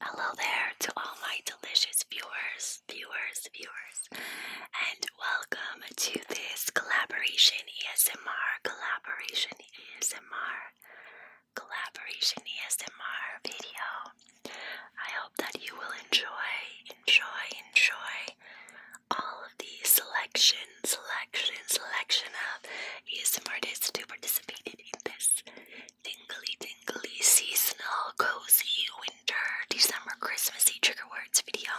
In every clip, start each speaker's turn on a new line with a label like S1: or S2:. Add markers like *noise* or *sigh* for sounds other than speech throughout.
S1: Hello there to all my delicious viewers, viewers, viewers, and welcome to this collaboration ESMR collaboration ESMR collaboration ESMR video. I hope that you will enjoy, enjoy, enjoy all of the selection, selection, selection of ASMR artists to participate in this Tingly, tingly, seasonal, cozy, winter, December, Christmassy trigger words video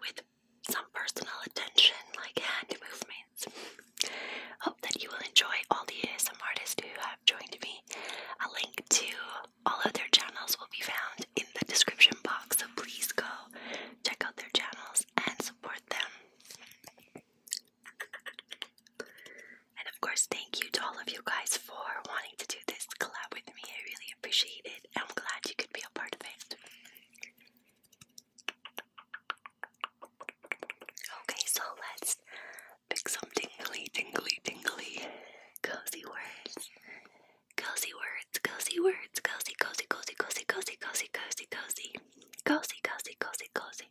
S1: with some personal attention like hand movements. Hope that you will enjoy all the ASM artists who have joined me. A link to all of their channels will be found in the description box, so please go check out their channels and support them. And of course, thank you to all of you guys for wanting to do this collab with me. I really appreciate it. I'm glad you could be a part of it. Okay, so let's pick some tingly, tingly, tingly,
S2: cozy words. Cozy words, cozy words, cozy, cozy, cozy, cozy, cozy, cozy, cozy,
S1: cozy, cozy, cozy, cozy, cozy.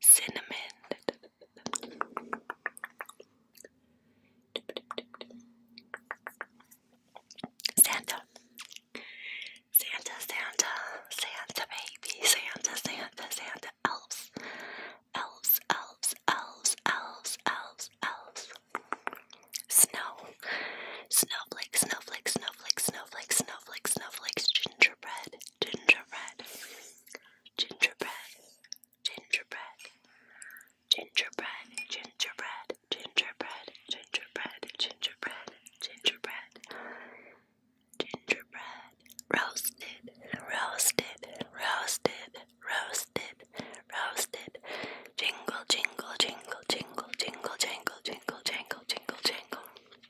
S1: cinnamon, Santa, Santa, Santa, Santa baby, Santa, Santa, Santa, elves, elves, elves, elves, elves, elves, elves, snow, snowflake, snowflake, snowflake snowflakes, snowflakes, snowflakes, snowflakes, gingerbread, gingerbread, gingerbread, gingerbread, gingerbread, gingerbread, gingerbread, gingerbread, gingerbread, gingerbread, gingerbread, roasted, roasted, roasted, roasted, roasted, jingle, jingle, jingle, jingle, jingle, jingle, jingle, jingle, jingle, jingle.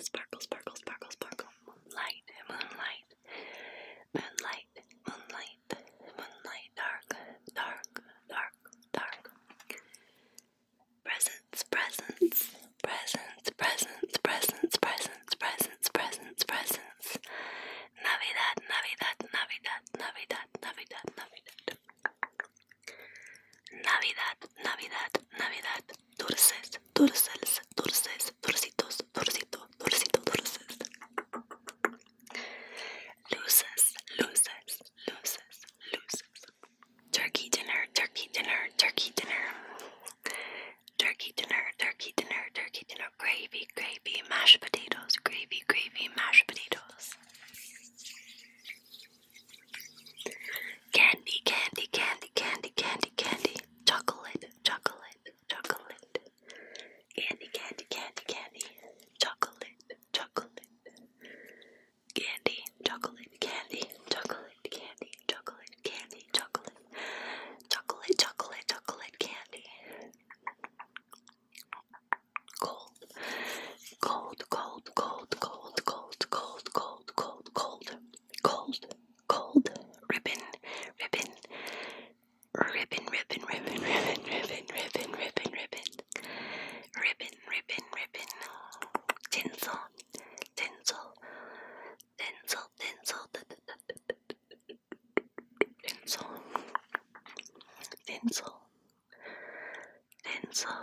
S1: Sparkle, sparkle, sparkle, sparkle. Moonlight, moonlight, moonlight, moonlight, moonlight. Dark, dark, dark, dark. Presents, presents, presents, presents, presents, presents, presents, presents, presents. Navidad, Navidad, Navidad, Navidad, Navidad, Navidad. Navidad, Navidad, Navidad, dulces,
S2: dulces,
S1: dulces, dulcitos, dulcito, dulces. Luces, luces, luces, luces. Turkey dinner, turkey dinner, turkey dinner. Turkey dinner, turkey dinner, turkey dinner. Gravy, gravy, mashed potatoes, gravy, gravy, mashed potatoes. Candy, candy, candy, candy, candy, candy. Chocolate, chocolate, chocolate. Candy, candy, candy, candy. Chocolate, chocolate. Candy, chocolate, candy, chocolate, candy, chocolate, candy, chocolate. Chocolate, chocolate, chocolate, candy. Cold, cold, cold, cold, cold, cold, cold, cold, cold, cold, cold, gold ribbon, ribbon, ribbon, ribbon, ribbon, ribbon, ribbon, ribbon, ribbon, ribbon, ribbon, ribbon, ribbon, tinsel, tinsel, tinsel, tinsel, tinsel, tinsel, tinsel,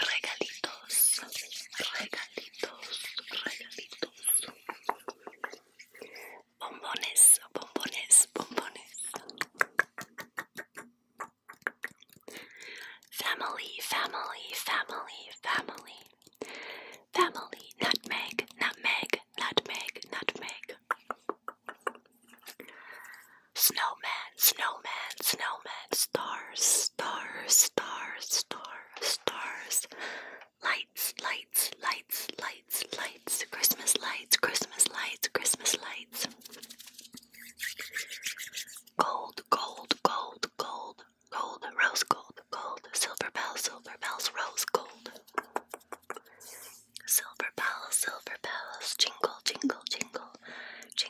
S1: regalitos, regalitos, regalitos, regalitos, bombones, bombones, bombones, family, family, family, family, family, nutmeg, nutmeg, nutmeg, nutmeg. Snowman, snowman, snowman, stars, stars, stars, stars, stars, lights, lights, lights, lights, lights, Christmas lights, Christmas lights, Christmas lights, gold, gold, gold, gold, gold, rose gold, gold, silver bells, silver bells, rose gold, silver bells, silver bells, jingle, jingle, jingle. Jingle,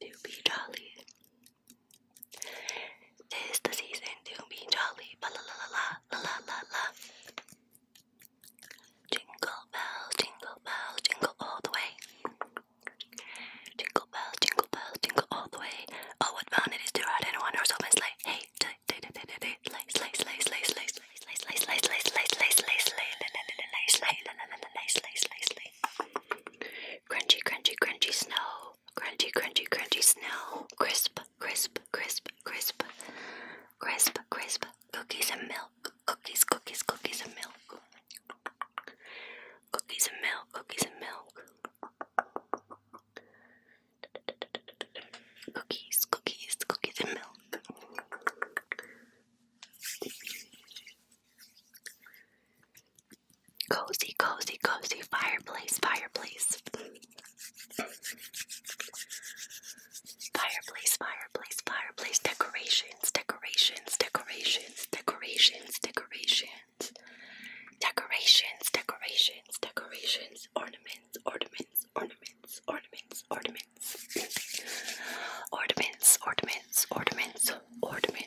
S1: to be jolly. Tis the season to be jolly. Ba la la la la la la la. Jingle bells, jingle bells, jingle all the way. Jingle bells, jingle bells, jingle all the way. Oh, what fun it is to ride in one horse open sleigh. Hey, sleigh, sleigh, sleigh, sleigh, sleigh, sleigh, sleigh, sleigh, sleigh, sleigh, sleigh, sleigh, sleigh, sleigh, sleigh, sleigh Crunchy, crunchy, crunchy snow. Crunchy, crunchy, crunchy snow. Crisp, crisp, crisp, crisp. Crisp, crisp. Cookies and milk. Cookies, cookies, cookies and milk. Cookies and milk, cookies and milk. Cookies, cookies, cookies and milk. Cozy, cozy, cozy fireplace, fireplace. Fireplace, fireplace, fireplace. Decorations, decorations, decorations, decorations, decorations. Decorations, decorations, decorations. Ornaments, ornaments, ornaments, ornaments, ornaments. Ornaments, ornaments, ornaments, ornaments,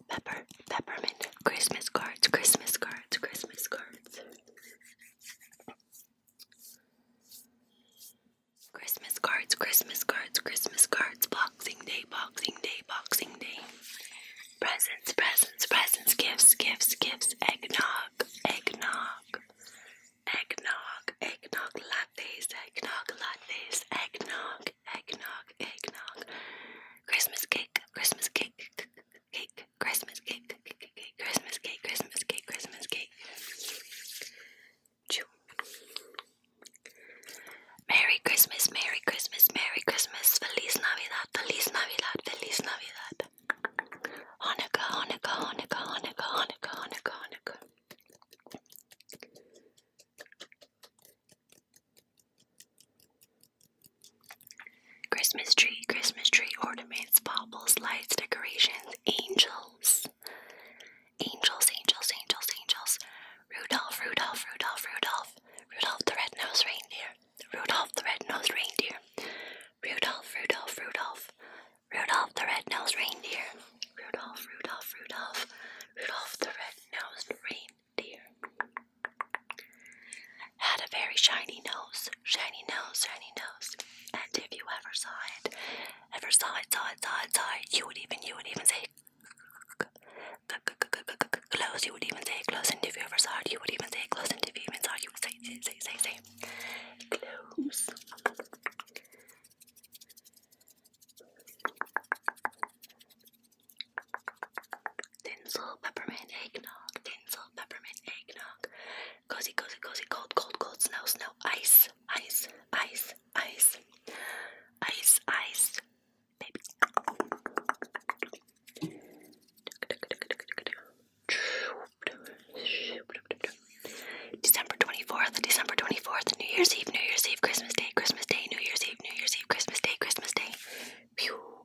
S1: pepper, peppermint, Christmas cards, Christmas cards, Christmas cards. Christmas cards, Christmas cards, Christmas cards, Boxing Day, Boxing Day, Boxing Day. Presents, presents, presents, gifts, gifts, gifts, eggnog, eggnog, eggnog, eggnog lattes, eggnog lattes, eggnog, eggnog, eggnog. Christmas cake, Christmas cake, cake, Christmas cake, cake, cake, Christmas cake, Christmas cake, Christmas cake. Chew. Merry Christmas, Merry Christmas, Merry Christmas, Feliz Navidad, Feliz Navidad, Feliz Navidad. Hanukkah, Hanukkah, Hanukkah, Hanukkah, Hanukkah, Hanukkah. Christmas tree, Christmas tree ornaments, baubles, lights, decorations, angels. Angels, angels, angels, angels. Rudolph, Rudolph, Rudolph, Rudolph. Rudolph the red-nosed reindeer. Rudolph the red-nosed reindeer. Rudolph, Rudolph, Rudolph. Rudolph the red-nosed reindeer. Rudolph, Rudolph, Rudolph. Rudolph the red-nosed reindeer dear. Had a very shiny nose, shiny nose, shiny nose. And if you ever saw it, ever saw it, saw it, saw it, saw it, you would even, you would even say close. You would even say close. And if you ever saw it, you would even say close. And if you even saw it, you would say, say, say, say, say close. Tinsel peppermint eggnog, tinsel peppermint eggnog, cozy cozy cozy cold cold cold snow snow ice ice ice ice ice ice baby. December 24th, December 24th, New Year's Eve, New Year's Eve, Christmas Day, Christmas Day, New Year's Eve, New Year's Eve, Christmas Day, Christmas Day. Pew.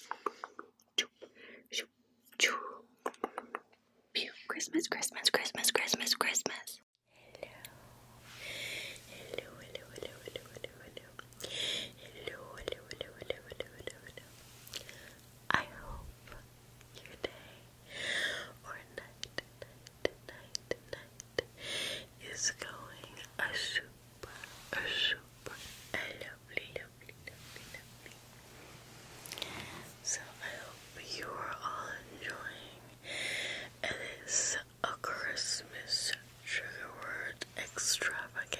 S1: Christmas, Christmas, Christmas, Christmas, Christmas. Hello. I hope your day or night, is going a super, super lovely, lovely, lovely, lovely. So I hope you are all enjoying this a Christmas trigger extravaganza.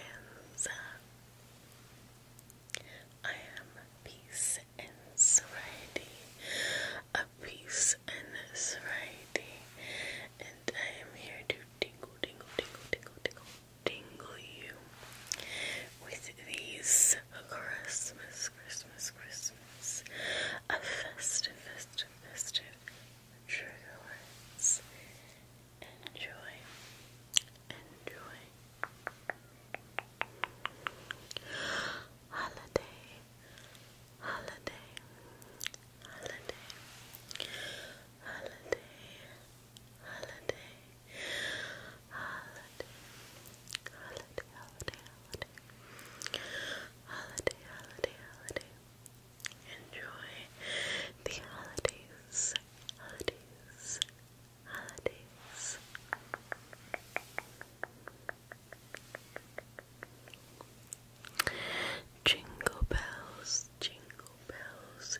S1: I am peace and sobriety, a peace and sobriety, and I am here to tingle, tingle, tingle, tingle, tingle, tingle you with these Christmas, Christmas, Christmas, a festive, festive, festive trigger words. Enjoy, enjoy. Holiday, holiday, holiday, holiday, holiday, holiday, holiday, holiday, holiday, holiday, holiday, holiday. Enjoy the holidays, holidays, holidays. Jingle bells, jingle bells,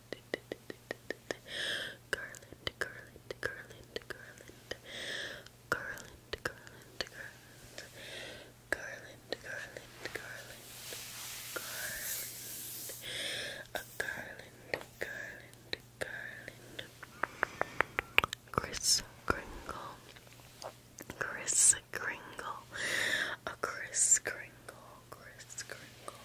S1: Garland, garland, garland, garland, garland, garland, garland, garland, garland, garland, garland, a garland, garland, garland, Chris Kringle, Chris Kringle, a Chris Kringle, Chris Kringle.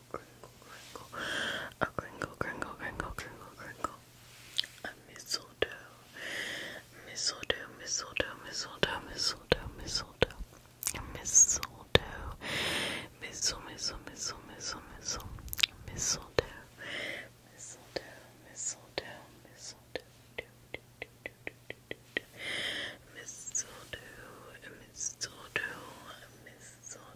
S1: crinkle, a crinkle, crinkle, crinkle, crinkle, crinkle, a mistletoe, mistletoe, mistletoe, mistletoe, mistletoe, mistletoe, a mistletoe, mistle, mistle, mistle, mistle, mistle, mistletoe, mistletoe, mistletoe, mistletoe, mistletoe, mistletoe, mistletoe, mistletoe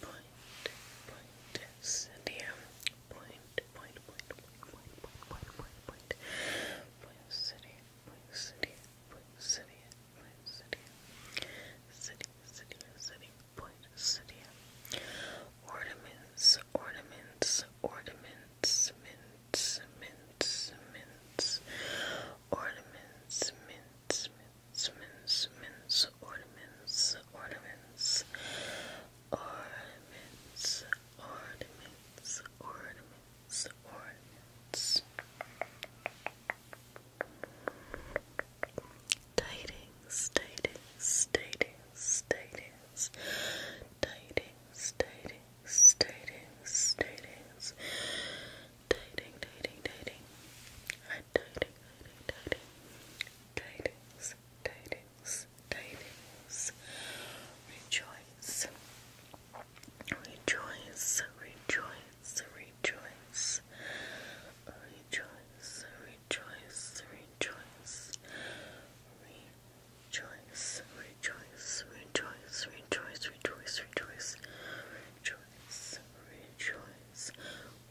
S1: point, point, obsidian, point, point, point, point, point, point, point, point, point, point, obsidian, point, obsidian, point, obsidian, point, obsidian, city, city, city, point, obsidian, ornaments, ornaments, ornaments, mints, mints, mints, ornaments, mints, mints, mints, mints, ornaments, ornaments, ornaments, ornaments, ornaments, ornaments. Tidings, tidings, tidings, tidings, tidings, tidings, tidings, tidings. Dating, dating, dating. Tidings, tidings, tidings, tidings, tidings, tidings, tidings, tidings. Rejoice, rejoice, rejoice, rejoice. Rejoice, rejoice, rejoice. Rejoice, rejoice, rejoice, rejoice, rejoice,
S2: rejoice. Rejoice, rejoice,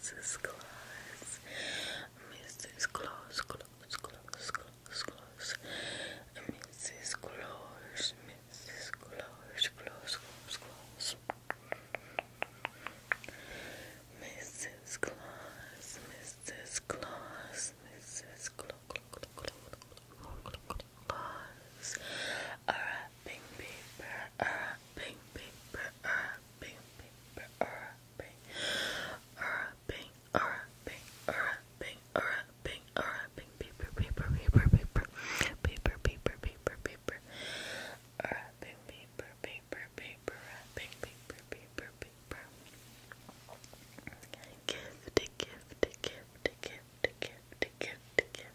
S2: Mrs.
S1: Claus, Mrs. Claus, Claus, Claus, Claus, Claus, Mrs. Claus, Mrs. Claus, Claus, Claus, Claus, Mrs. Claus, Mrs. Claus, Mrs. Claus, Claus. Alright, pink paper, uh, pink paper, uh, pink paper, uh, pink, uh, pink, uh, pink, uh, pink, uh, pink, uh, pink paper, paper, paper, paper, paper, paper, paper, paper, uh, pink paper, paper, paper, pink paper, paper, paper. Gift, gift, gift, gift, gift, gift, gift,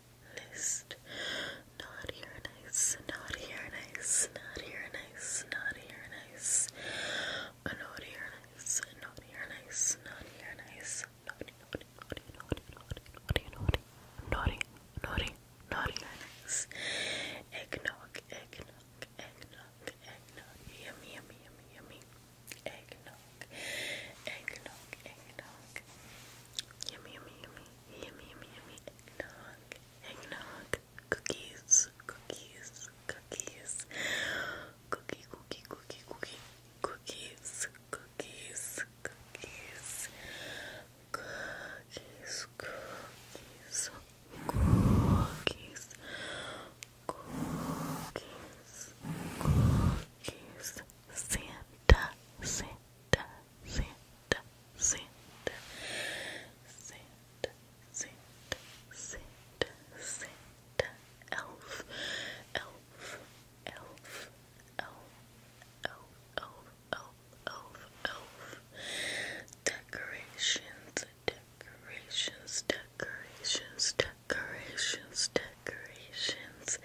S1: list. Not here and nice, not here and nice, not here and nice, not here and uh, nice. Not here and nice, not here and nice, not here and nice. Naughty, naughty, naughty, naughty, naughty, naughty, naughty, naughty, naughty, naughty, nice. Eggnog, eggnog, eggnog, eggnog, yummy, yummy, yummy, yummy. Eggnog, eggnog, eggnog. Yummy, yummy, yummy, yummy, yummy, yummy, eggnog eggnog, cookies, cookies, cookies, cookie, cookie, cookie, cookie, cookies, cookies, cookies, cookies, cookies, cookies, cookies, cookies, Santa, Santa. Santa, Santa, Santa, Santa, Santa, Santa, elf, elf, elf, elf, elf, elf, elf, elf, decorations, decorations, decorations, decorations, decorations, decorations,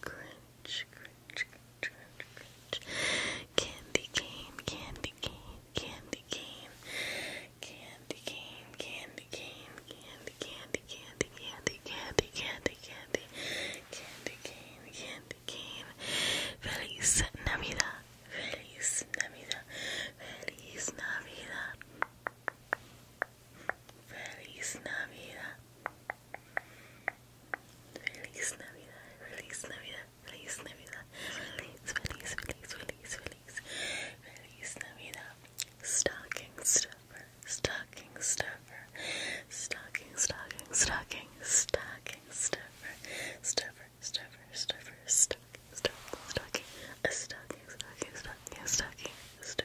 S2: Crunch, crunch, crunch, crunch, Candy cane, candy cane, candy cane.
S1: Candy cane, candy cane, candy, candy, candy, candy, candy, candy, candy cane, candy cane. Feliz Navidad, Feliz Navidad, Feliz Navidad. Feliz Navidad. Feliz Navidad, feliz Navidad, feliz Navidad, feliz, feliz, feliz, feliz, feliz, feliz Navidad. Stocking stuffer, stocking stuffer, stocking, stocking, stocking, stocking stuffer, stuffer, stuffer, stuffer, stocking, stocking, stocking, a stocking,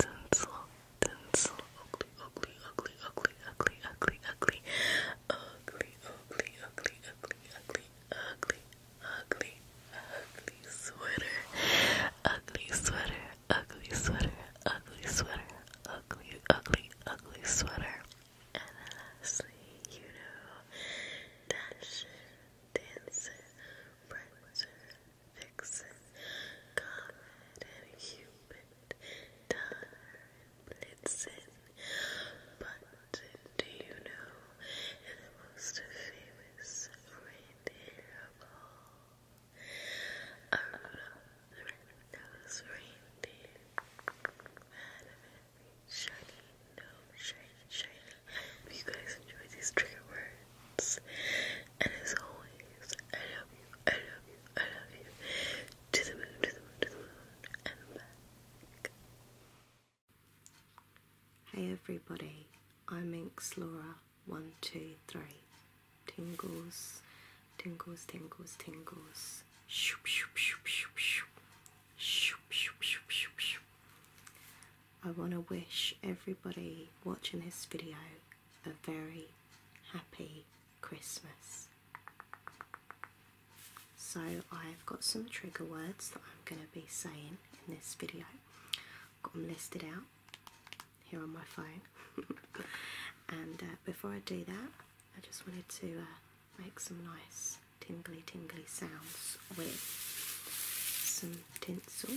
S1: tinsel, tinsel, ugly, ugly, ugly, ugly, ugly, ugly, ugly, ugly, ugly, ugly, ugly, ugly, ugly, sweater, ugly sweater, ugly sweater, ugly sweater, ugly, ugly, ugly sweater. And lastly, you know, dash, dancer, prancer, Vixen, Comet, and Cupid, Donner, and Blitzen.
S2: But do you know the most famous
S1: uh, reindeer of all? I the red-nosed reindeer. Man of every you guys enjoy these trigger words.
S3: Hey everybody, I'm Inks Laura. One, two, three. Tingles, tingles, tingles, tingles. Shoop, shoop, shoop, shoop, shoop. Shoop, shoop, shoop, shoop, shoop. I want to wish everybody watching this video a very happy Christmas. So I've got some trigger words that I'm going to be saying in this video. I've got them listed out here on my phone. *laughs* and uh, before I do that, I just wanted to uh, make some nice tingly tingly sounds with some um, tinsel.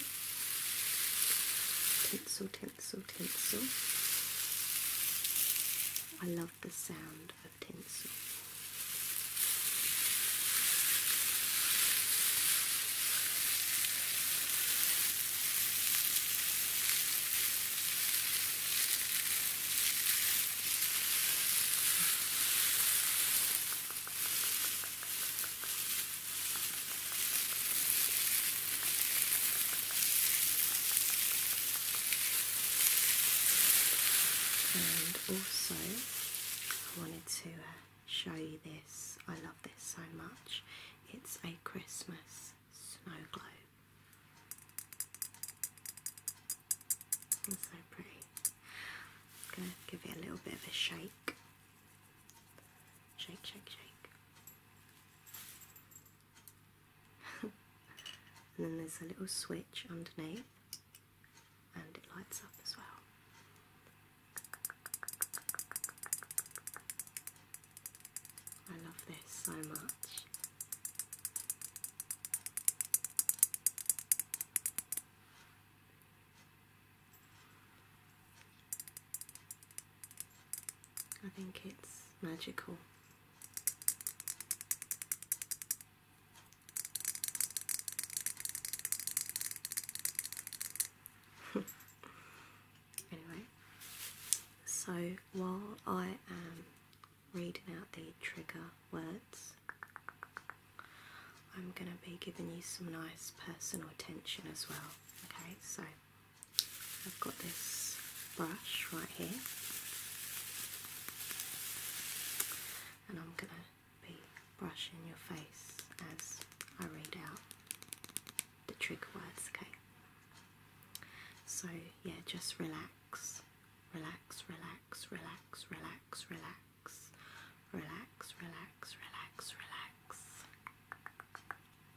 S3: Tinsel, tinsel, I love the sound of tinsel. And also, I wanted to show you this. I love this so much. It's a Christmas snow globe. so pretty. going to give it a little bit of a shake. Shake, shake, shake. *laughs* and then there's a little switch underneath and it lights up as well. I love this so much. I think it's magical. *laughs* anyway, so while I am reading out the trigger words, I'm going to be giving you some nice personal attention as well. Okay, so I've got this brush right here, and I'm going to be brushing your face as I read out the trigger words, okay? So, yeah, just relax, relax, relax, relax, relax, relax, relax, relax, relax, relax.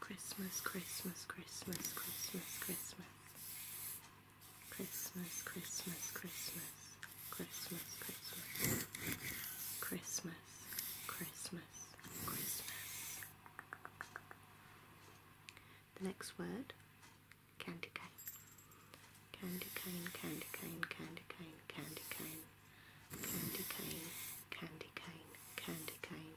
S3: Christmas, Christmas, Christmas, Christmas, Christmas. Christmas, Christmas, Christmas. Christmas, Christmas. Christmas, The next word candy cane. Candy cane, candy cane, candy cane, candy cane. Candy cane, candy cane, candy cane,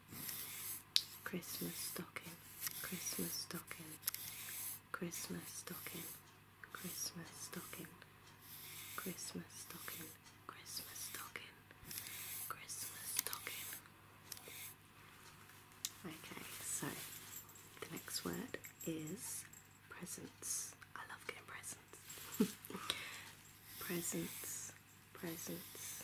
S3: Christmas stocking, Christmas stocking, Christmas stocking, Christmas stocking, Christmas stocking, Christmas stocking, Christmas stocking. Okay, so the next word is presents. I love getting presents. *laughs* presents, presents,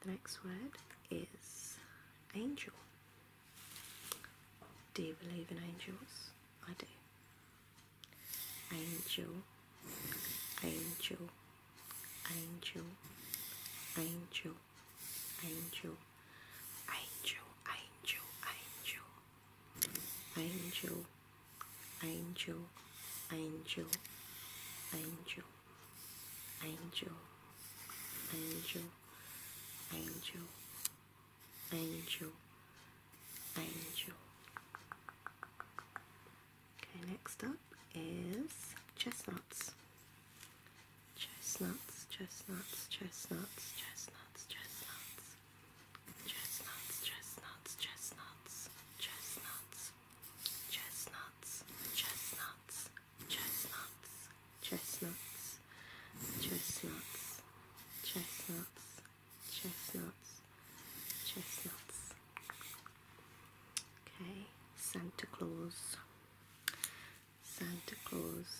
S3: The next word is angel. Do you believe in angels? I do. Angel, angel, angel, angel, angel, angel, angel, angel, angel, angel, angel, angel, angel, angel, angel, angel. Okay, next up is chestnuts. Chestnuts, chestnuts, chestnuts, chestnuts, chestnuts, chestnuts, chestnuts, chestnuts, chestnuts, chestnuts, chestnuts, chestnuts, chestnuts, chestnuts, chestnuts, chestnuts, chestnuts. Okay, Santa Claus, Santa Claus,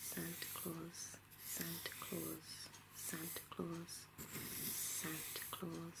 S3: Santa Claus, Santa Claus, Santa Claus, Santa Claus.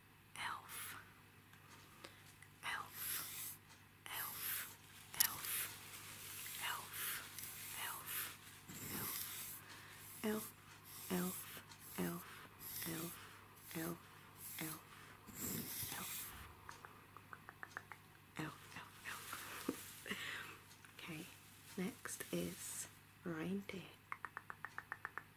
S3: elf, okay, next is reindeer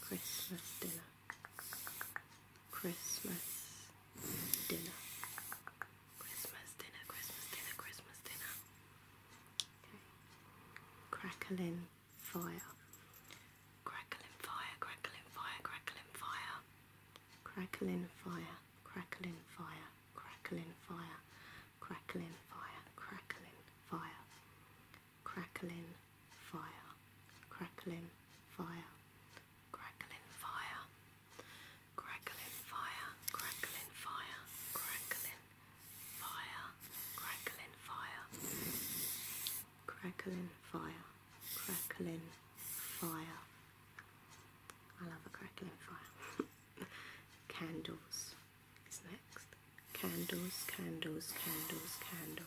S3: Christmas dinner. Christmas dinner. Christmas dinner, Christmas dinner, Christmas dinner. Okay. Crackling fire. Crackling fire, crackling fire, crackling fire. Crackling fire, crackling fire, crackling fire, crackling fire, crackling fire crackling fire, crackling fire, crackling fire, crackling fire, crackling fire, crackling fire, crackling fire, crackling fire, crackling fire. I love a crackling fire. *laughs* Candles is next. Candles, candles, candles, candles.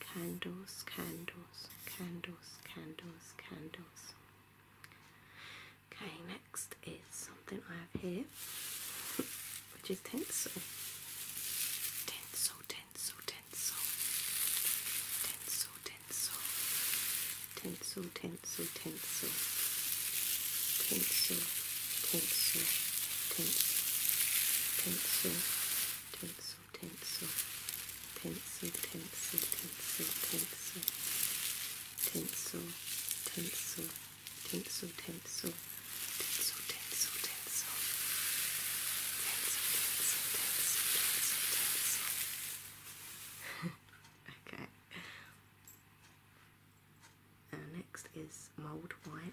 S3: candles, candles, candles, candles, candles. Okay, next is something
S1: I have here, which is tinsel. Tinsel, tinsel, tinsel. Tinsel, tinsel.
S3: Tinsel, tinsel, tinsel. Tinsel, tinsel, tinsel. Tinsel, tinsel pencil, pencil, pencil, pencil, pencil, pencil, pencil, pencil, pencil, pencil, pencil, pencil, pencil, Okay. Now next is mulled wine.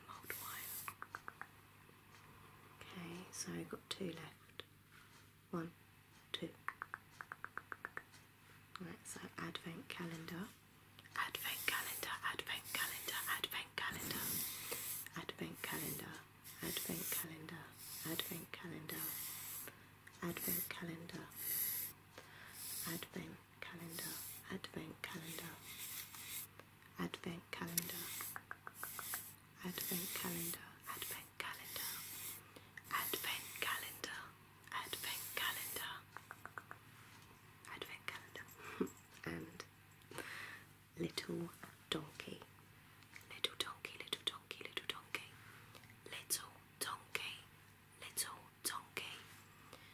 S3: wine, old wine. Okay, so I've got two left. One, two. Right, so advent calendar. Advent calendar, advent calendar, advent calendar. Advent calendar, advent calendar, advent calendar, advent calendar, advent calendar, advent calendar, advent calendar, advent calendar, advent calendar, advent calendar, advent calendar, *laughs* and little donkey, little donkey, little
S1: donkey, little donkey, little donkey, little donkey.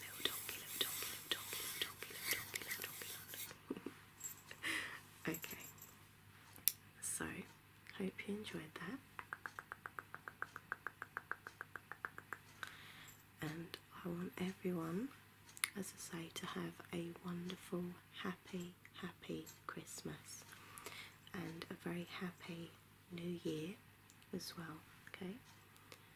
S3: Little donkey, little donkey, little donkey, little donkey, little donkey, little donkey, okay. So, hope you enjoyed that. And I want everyone, as I say, to have a wonderful, happy, happy Christmas and a very happy New Year as well. Okay,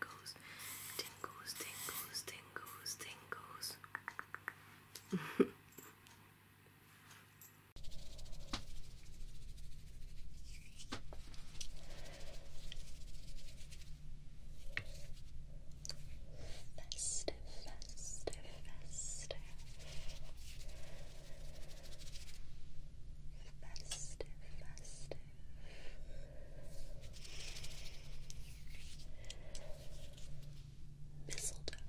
S1: tingles, tingles, tingles, tingles, tingles. Faster, faster, faster. Faster, faster. Mistletoe,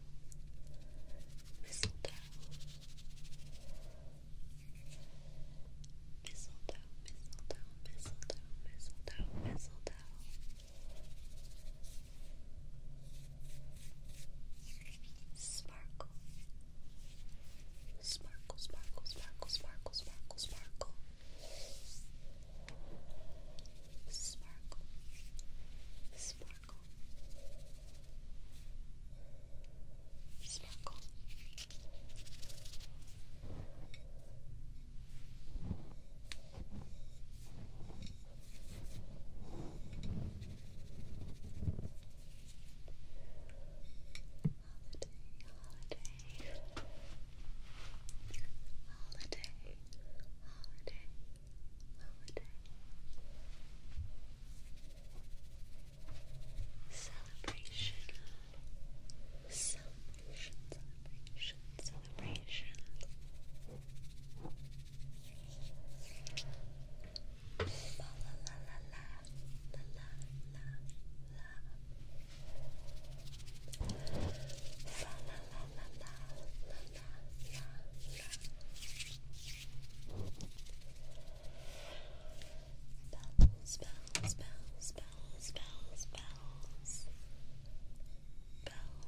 S1: mistletoe, mistletoe, mistletoe, mistletoe, mistletoe, mistletoe. Sparkle, Sparkle, sparkle, sparkle, sparkle, sparkle, sparkle. Sparkle. Sparkle. Sparkle celebration,
S2: celebration, celebration, celebration. la la la la la la la Fa la la la la la la la la. Bells, bells, bells, bells, bells, bells. Bells,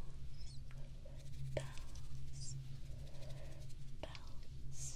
S2: bells, bells.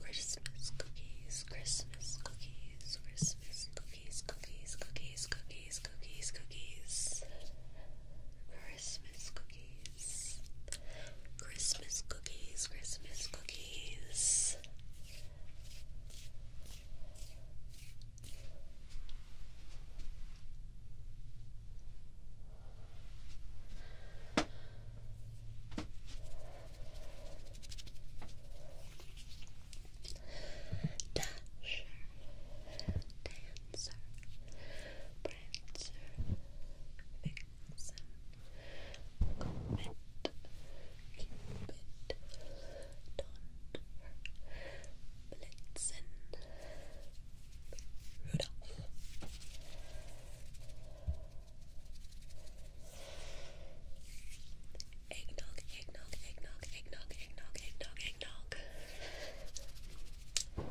S1: Christmas cookies, Christmas cookies, Christmas cookies, cookies, cookies, cookies, cookies, cookies, Christmas cookies, Christmas cookies, Christmas cookies. Christmas Dasher, Dancer, Prancer, Vixen, Comet, Cupid, Donder, Blitzen, Rudolph. Eggnog, eggnog, eggnog, eggnog, eggnog, eggnog, eggnog. Merry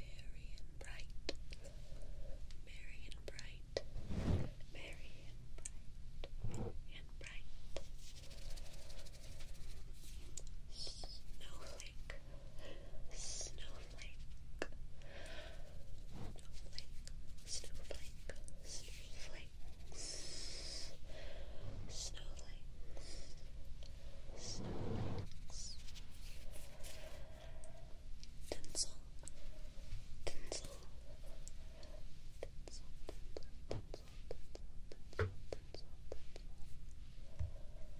S1: and bright, merry and bright, merry and bright, and bright. Snowflake, snowflake, snowflake, snowflake,
S2: snowflakes, snowflakes, tinsel, tinsel, tinsel, tinsel, tinsel, tinsel, tinsel, tinsel, tinsel.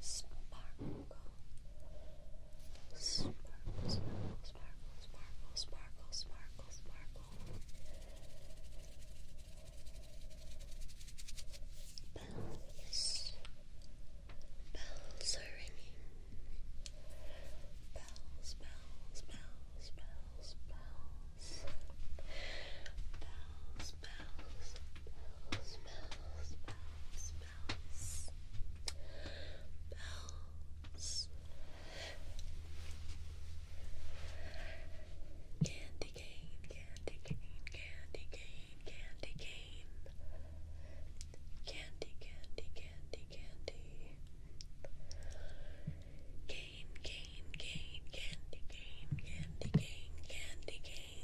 S2: Sparkle. Sparkle,
S1: sparkle, sparkle, sparkle, sparkle, sparkle, Bells. Bells are ringing. Bells, bells, bells, bells, bells. Bells, bells, bells bells, bells, bells, bells. Candy cane, candy cane, candy cane, candy cane. Candy, candy, candy, candy. Cane, cane, cane, candy cane, candy candy December,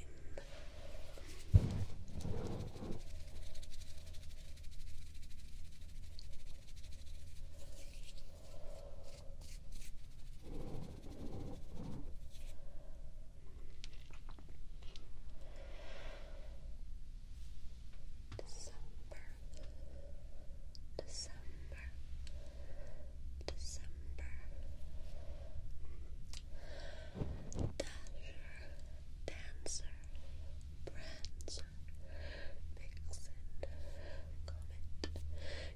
S2: December, December Dasher,
S1: Dancer, Prancer, Vixen, Comet,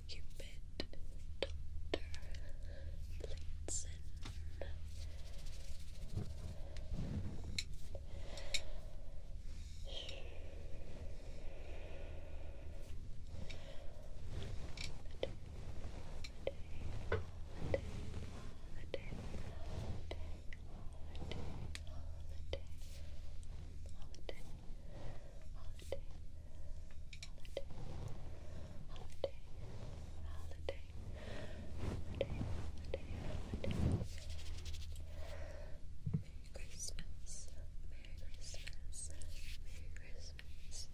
S1: Cupid, Doctor, Blitzen Merry Christmas, Merry Christmas,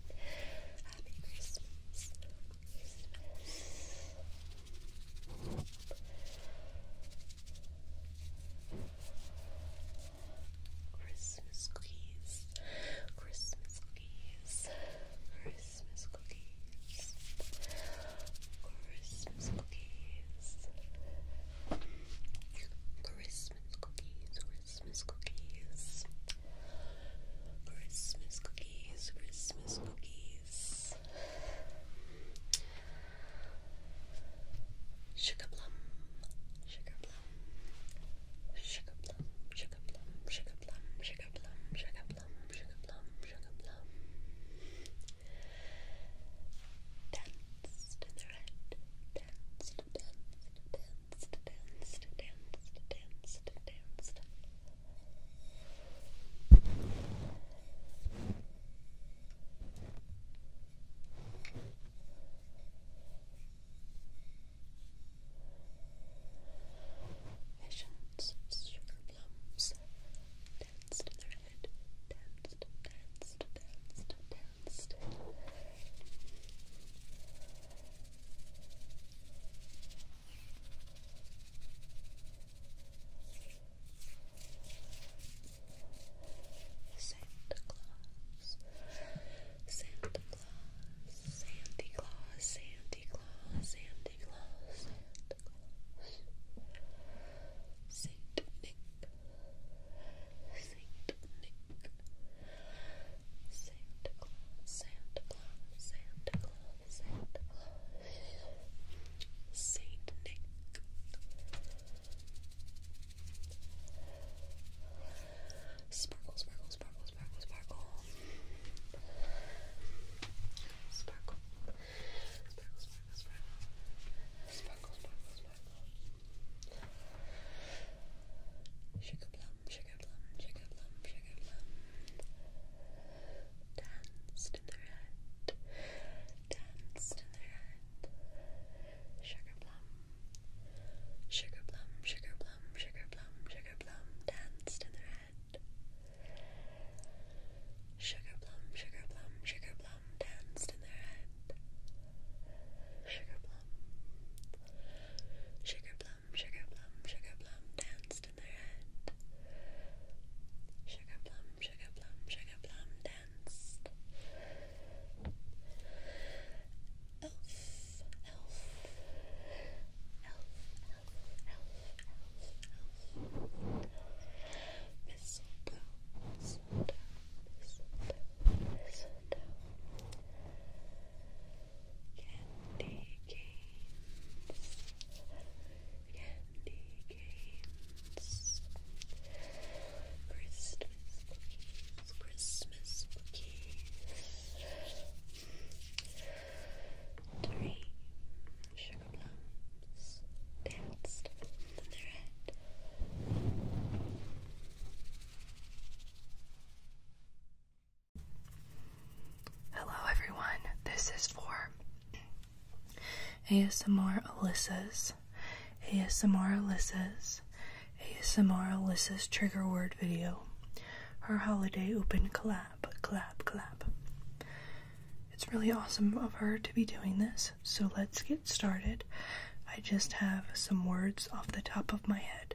S1: Happy Christmas. Christmas cookies. Christmas
S2: cookies. Christmas cookies. Christmas
S1: cookies. Christmas cookies. Christmas cookies. Christmas cookies, Christmas cookies. Sugar plum, sugar plum, sugar plum, sugar plum, sugar plum, sugar plum, sugar plum, sugar plum, sugar plum. Danced in the red, danced, danced, danced, danced, danced. Visions of sugar danced danced, danced, danced, danced. Santa Claus, Santa Claus, Santa Claus, Santa Claus, Santa Claus, Santa Claus, Saint Nick, Saint Nick, Santa Claus, Santa Claus, Santa Claus, Santa Claus, Saint Nick, Sparkle, Sparkle, Sparkle, Sparkle, Sparkle, Sparkle, Sparkle, Sparkle, Sparkle, Sparkle, Sparkle, Sparkle, Sugar plum, sugar plum, sugar plum, plum. Danced in the red, danced in the red. Sugar plum, sugar plum, sugar plum, Danced in the red. Sugar plum, sugar Danced in the red. Sugar plum, plum, sugar plum, sugar plum danced in their head. Sugar plum, sugar plum, sugar
S2: plum danced. Elf, elf, elf, elf, elf, elf, elf.
S1: Mistletoe, mistletoe, mistletoe, mistletoe. Candy canes, candy canes, Christmas cookies, Christmas cookies, three sugar danced in their head. Hello, everyone. This is for ASMR Alyssa's ASMR Alyssa's ASMR Alyssa's trigger word video. Her holiday open clap clap clap. It's really awesome of her to be doing this, so let's get started. I just have some words off the top of my head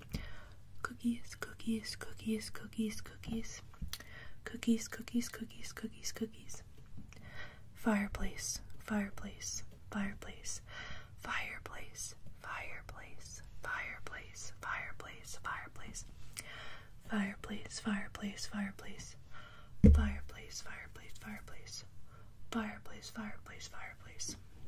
S1: Cookies, cookies, cookies, cookies, cookies. Cookies, cookies, cookies, cookies, cookies. Fireplace, fireplace, fireplace, fireplace, fireplace, fireplace, fireplace, fireplace, fireplace, fireplace, fireplace, fireplace, fireplace, fireplace, fireplace, fireplace, fireplace,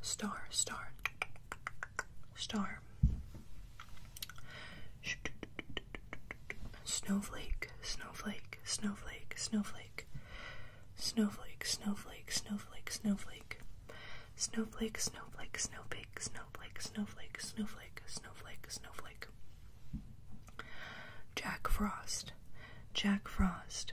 S1: Star, star, star. Snowflake, snowflake, snowflake, snowflake. Snowflake, snowflake, snowflake, snowflake. Snowflake, snowflake, snowflake, snowflake, snowflake, snowflake, snowflake, snowflake. Jack Frost, Jack Frost.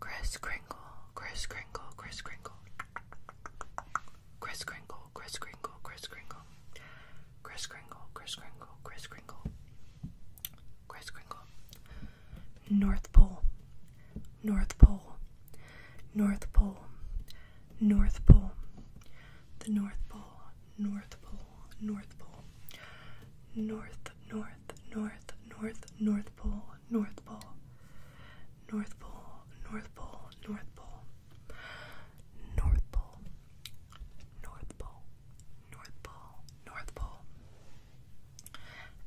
S1: Chris Kringle, Chris Kringle, Chris Kringle. Chris Kringle, Chris Kringle, Chris Kringle. Chris Kringle, Chris Kringle, Chris Kringle. Chris Kringle. North Pole, North Pole, North Pole, North Pole. The North Pole, North Pole, North Pole. North, North, North, North, North Pole, North Pole, North Pole, North Pole, North Pole, North Pole, North Pole, North Pole, North Pole.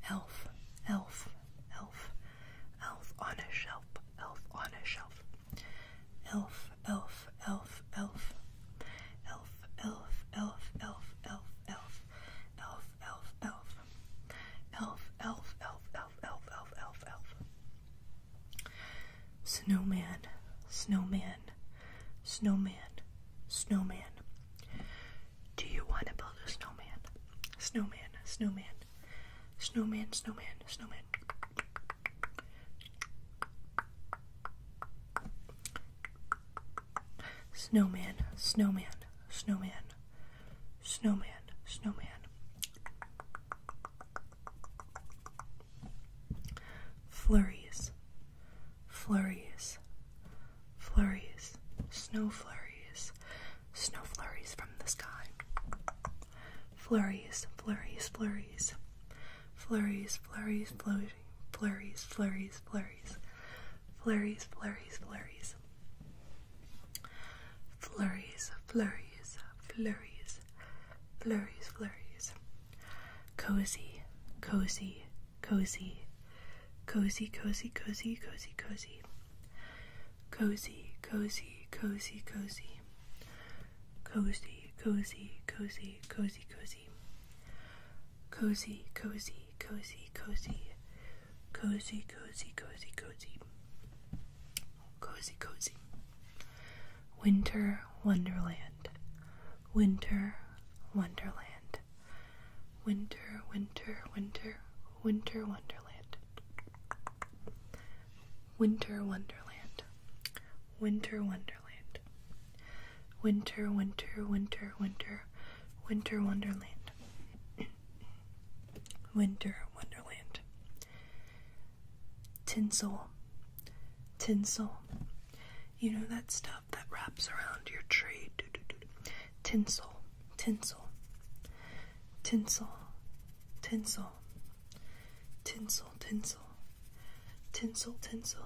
S1: Elf, elf, elf, elf on a shelf, elf on a shelf. Elf, elf, elf, elf. Elf, elf, elf, elf, elf, elf elf, elf, elf, elf, elf, elf, elf, elf, elf, Snowman, snowman, snowman, snowman. Do you want to build a snowman? Snowman, snowman, snowman, snowman, snowman. Snowman, snowman, snowman, snowman, snowman. Flurries, flurries, flurries, snow flurries, snow flurries from the sky. Flurries, flurries, flurries, flurries, flurries, flurries, flurries, flurries, flurries flurries, flurries, flurries, flurries, flurries, flurries, flurries, flurries, cozy, cozy, cozy, cozy, cozy, cozy, cozy, cozy, cozy, cozy, cozy, cozy, cozy, cozy, cozy, cozy, cozy, cozy, cozy, cozy, cozy, cozy, cozy, cozy, cozy, Winter Wonderland, Winter Wonderland, Winter, Winter, Winter, Winter Wonderland, Winter Wonderland, Winter Wonderland. Winter, winter, winter, winter, winter wonderland. *clears throat* winter wonderland. Tinsel, tinsel. You know that stuff that wraps around your tree. Doo -doo -doo tinsel, tinsel, tinsel, tinsel, tinsel, tinsel, tinsel, tinsel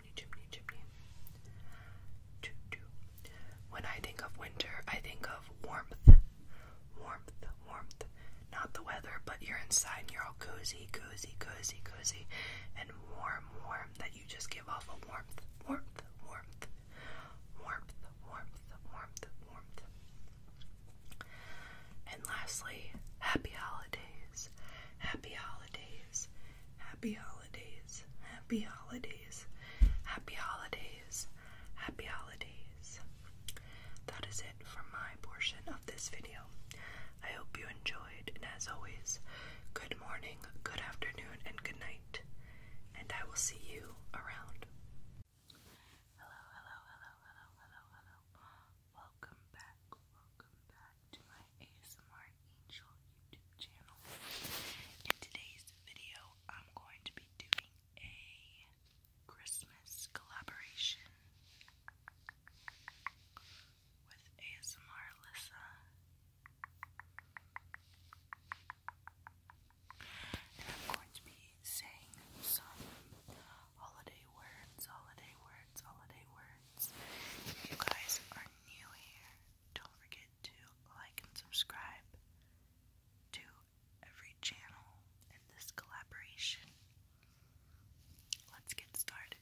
S1: When I think of winter, I think of warmth, warmth, warmth. Not the weather, but you're inside and you're all cozy, cozy, cozy, cozy, and warm, warm, that you just give off a warmth, warmth, warmth, warmth, warmth, warmth, warmth. And lastly, happy holidays, happy holidays. Happy holidays. Happy holidays. Happy holidays. Happy holidays. That is it for my portion of this video. I hope you enjoyed, and as always, good morning, good afternoon, and good night. And I will see you around. hello, hello, hello, hello, hello. Welcome back welcome back to my ASMR Angel YouTube channel. In today's video, I'm going to be doing a Christmas collaboration with ASMR Alyssa. And I'm going to be saying some holiday words, holiday words, holiday words. If you guys are new here, don't forget to like and subscribe to every channel in this collaboration. Let's get started.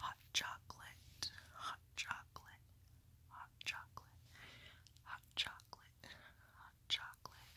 S1: Hot chocolate, hot chocolate, hot chocolate, hot chocolate, hot chocolate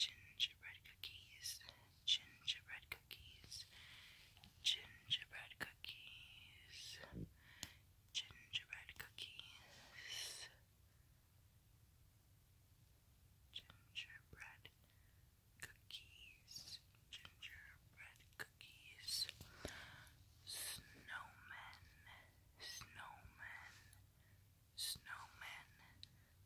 S1: gingerbread cookies, gingerbread cookies, gingerbread cookies, gingerbread cookies, gingerbread cookies, gingerbread cookies, snowmen, snowmen, snowmen,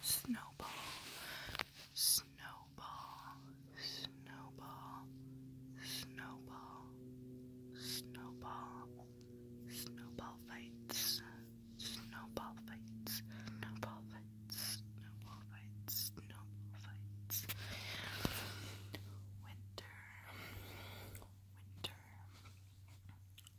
S1: Snowball, snowball, snowball, snowball, snowball, snowball fights, snowball fights, snowball fights, snowball fights, snowball fights. Winter, winter,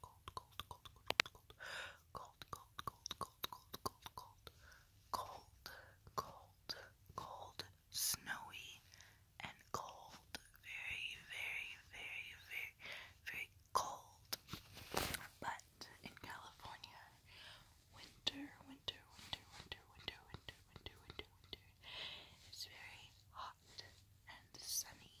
S1: cold, cold, cold, cold, cold, cold, cold, cold, cold, cold, cold, cold, cold, cold, cold, cold, snowy, and cold. Very, very, very, very, very cold. But in California, winter, winter, winter, winter, winter, winter, winter, winter, winter. It's very hot and sunny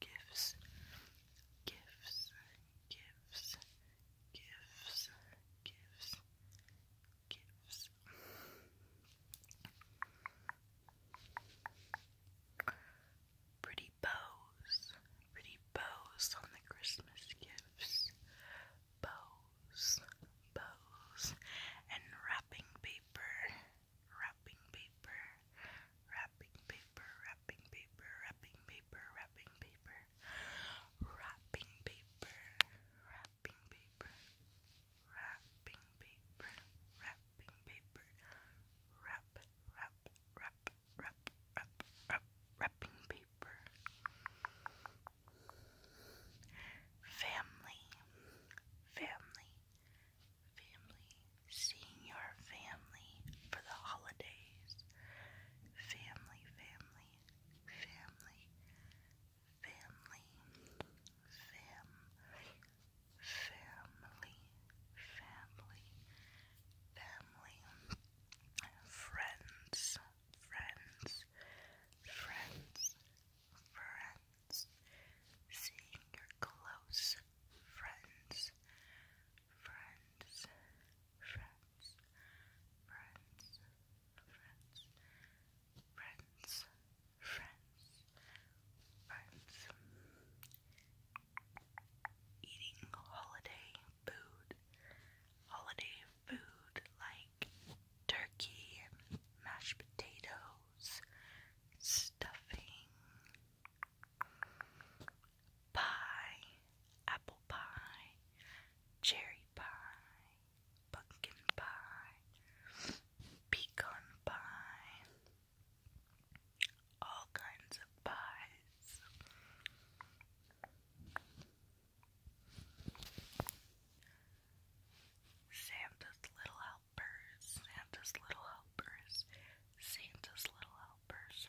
S1: gifts, gifts, gifts, gifts, gifts, gifts. Pretty bows, pretty bows on the Christmas gifts. Bows, bows, and wrapping paper, wrapping paper, wrapping paper, wrapping paper, wrapping paper, wrapping paper, wrapping paper, wrapping paper, wrapping paper, wrapping paper, wrap, wrap, wrap, wrap, wrap, wrap, wrapping paper. Family, family, family, seeing your family for the holidays, family, family, family, family, family,
S2: family, family, family, friends,
S1: friends, friends, friends, seeing your close friends, friends, friends, friends, friends,
S2: friends, friends,
S1: friends. Eating holiday food, holiday food like turkey, mashed potatoes, stuffing, pie, apple pie, cherry pie, pumpkin pie, pecan pie, all kinds of pies. Santa's little helpers, Santa's little helpers, Santa's little helpers.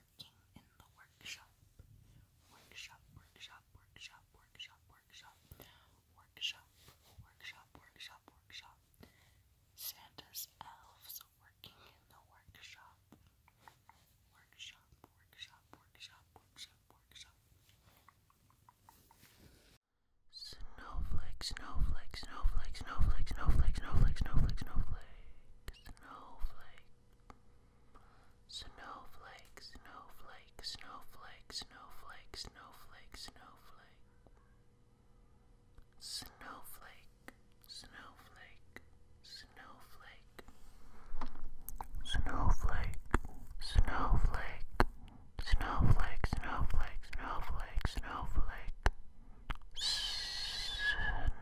S1: working in the workshop. Workshop, workshop, workshop, workshop, workshop, workshop, workshop, workshop, workshop. Santa's elves working in the workshop. Workshop, workshop, workshop, workshop, workshop. Snowflake, snowflake, snowflake, snowflake, snowflake, snowflake, snowflake, snowflake, snowflake. Snowflake, snowflake, snowflake, snowflake, snowflake, snowflake. Snowflake, snowflake, snowflake. Snowflake, snowflake, snowflake, snowflake, snowflake, snowflake. Snowflake.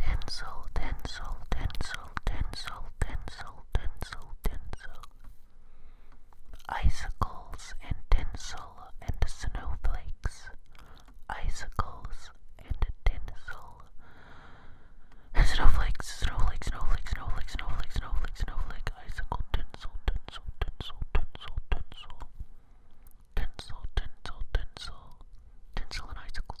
S1: Tensile, tensile, tensile, tensile, tensile, tensile, tensile. Icicles and tensile and snowflakes. Icicles and tensile. Snowflakes, snowflakes, snowflakes, snowflakes, snowflake, snowflake,
S2: snowflake, icicle, tensile, tensile, tensile, tensile, tensile. Tensile, tensile, tensile. Tensile and icicles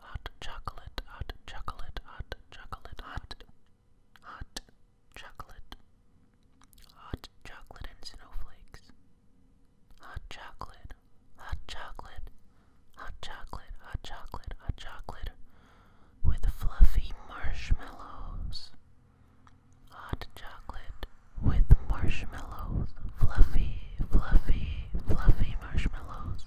S1: hot chocolate, hot chocolate, hot chocolate, hot, hot chocolate, hot chocolate and snowflakes, hot chocolate, hot chocolate, hot chocolate, hot chocolate, hot chocolate, with fluffy marshmallows, hot chocolate with marshmallows, fluffy, fluffy, fluffy marshmallows.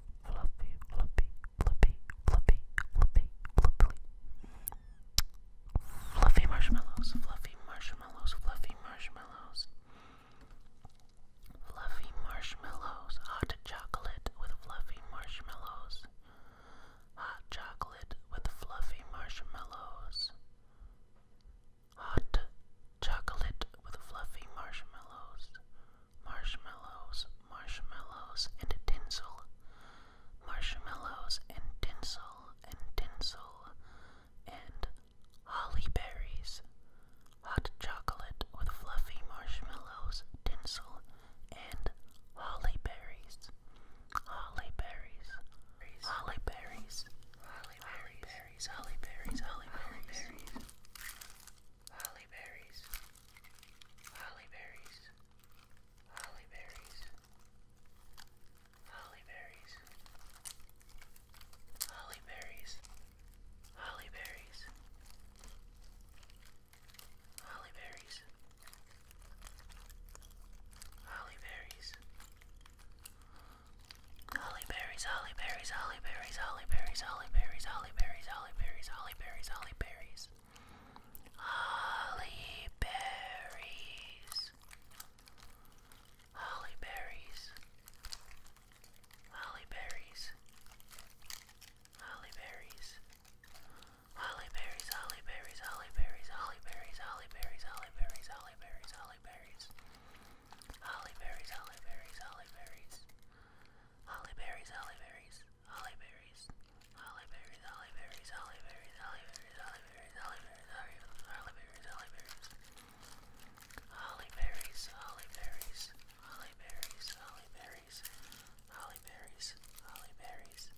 S1: fluffy, fluffy, fluffy, fluffy, fluffy, fluffy, fluffy marshmallows, fluffy marshmallows, fluffy marshmallows, fluffy marshmallows, hot chocolate with fluffy marshmallows, hot chocolate with fluffy marshmallows. Hot chocolate with fluffy marshmallows marshmallows, marshmallows, and tinsel, marshmallows, and tinsel, and tinsel, and holly berries, hot chocolate with fluffy marshmallows, tinsel, and holly berries, holly berries, holly berries, holly berries, holly berries, holly berries, berries holly berries, holly berries, holly berries, holly berries, holly berries, holly berries, holly berries, holly berries, holly berries, holly berries berries, holly berries, holly berries, holly berries, holly berries, holly berries, holly berries, holly berries. Holly berries. Holly berries. Holly berries. Holly berries. Holly berries, holly berries, holly berries, holly berries, holly berries, holly berries, holly berries, holly berries. Holly berries, holly berries, holly berries. Holly berries, holly berries, holly berries, holly berries, holly berries, holly berries, holly berries, holly berries, holly berries, holly berries, holly berries, holly berries, holly berries, holly berries, holly berries,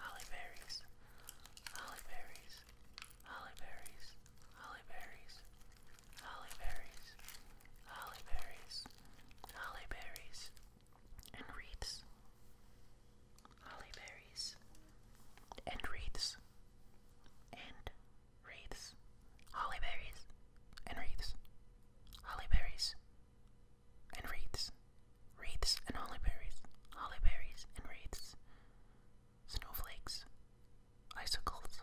S1: holly berries, holly berries, holly berries, holly berries, berries,
S2: holly berries, holly berries, holly berries, and wreaths, holly berries, and
S1: wreaths, and wreaths, holly berries, and
S2: wreaths, holly berries, and wreaths, wreaths and
S1: holly berries, holly berries and wreaths, snowflakes, icicles.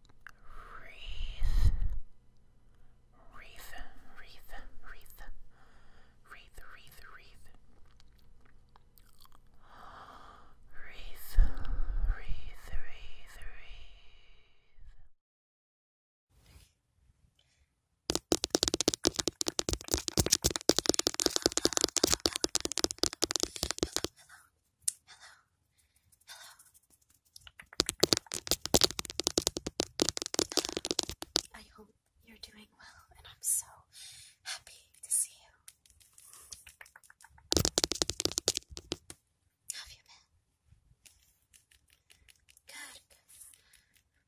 S1: wreath, wreath, wreath, wreath, wreath, wreath, wreath. Wreath, wreath, wreath, wreath. Hello. Hello. Hello. I hope you're doing well, and I'm so happy to see you. have you been? good.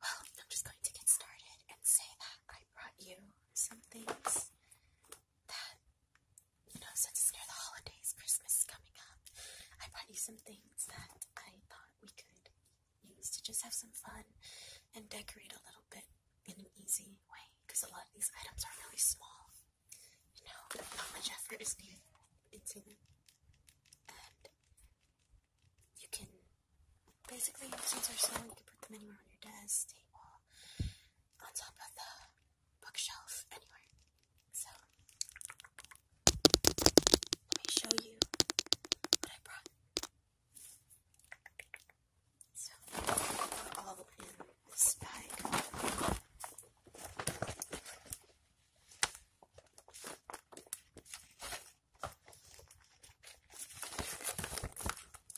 S1: Well, I'm just going to get started and say that I brought you some things that you know, since it's near the holidays, Christmas is coming up, I brought you some things that I thought we could use to just have some fun and decorate a little bit in an easy way. Because a lot of these items are really small, you know, not much effort is needed into them. And you can basically, since they're small, you can put them anywhere on your desk, table, on top of the bookshelf, anywhere. So, let me show you what I brought. So, all in this bag.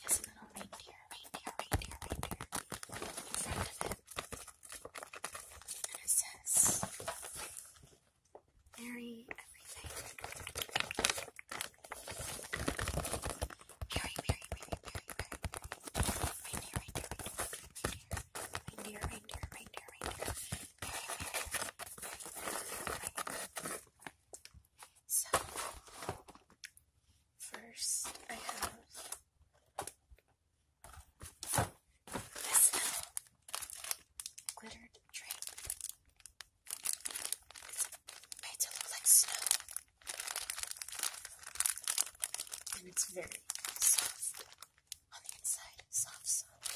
S2: There's little reindeer, reindeer, reindeer, reindeer in front of it it says,
S1: Marry everything. Marry, marry, marry, marry, marry, marry. Right here, right here, So, first I have this little glittered drape is like snow. And it's very soft on the inside, soft, soft.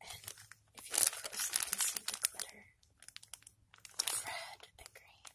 S1: And if you look close, you can see the glitter red and green.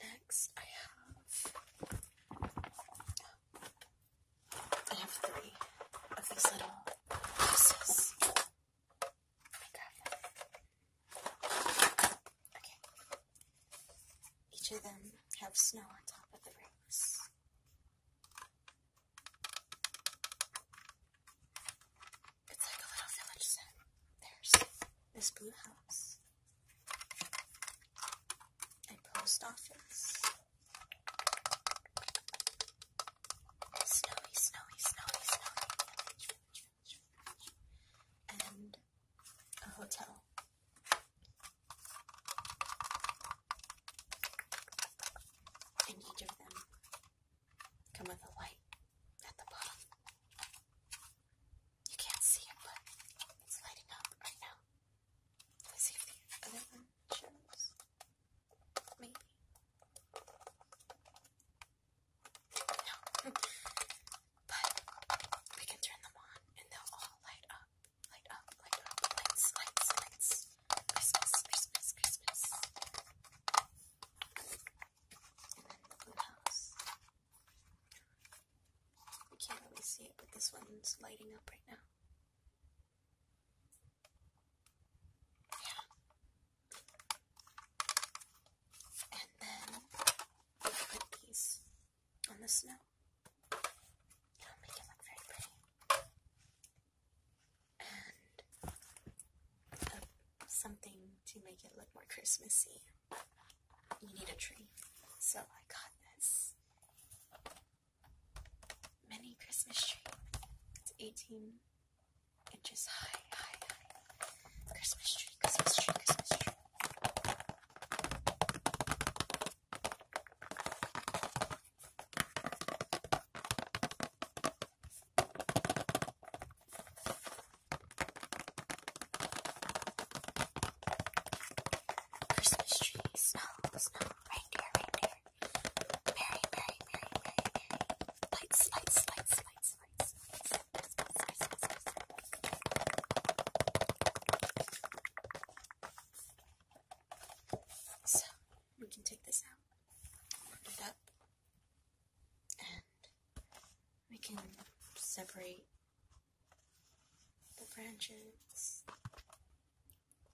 S2: Next, I have I have three of these little pieces. I grab
S1: them. Okay. Each of them have snow on top of the rings. It's like a little village set. There's this blue house. A post
S2: office. Snowy, snowy, snowy, snowy And a hotel.
S1: And each of them come with a light at the bottom.
S2: You can't see it, but it's lighting up right now. Let's see if the other one shows. Maybe. No. *laughs* but we can turn them on and they'll all light up.
S1: Light up, light up.
S2: Lights, lights, lights. Christmas, Christmas, Christmas. And
S1: then the blue house. I can't really see it, but this one's lighting up right now.
S2: Yeah. And then put these on the snow. it make it look very pretty.
S1: And something to make it look more Christmassy you need a tree. So I got this mini
S2: Christmas tree. It's 18 inches high, high, high. Christmas tree, Christmas tree, Christmas tree. Christmas tree, snow, snow, reindeer, reindeer. Merry, merry, merry, merry, merry. lights, lights, lights, lights, lights. So, we can take this out, put it up, and we
S3: can
S1: separate the branches.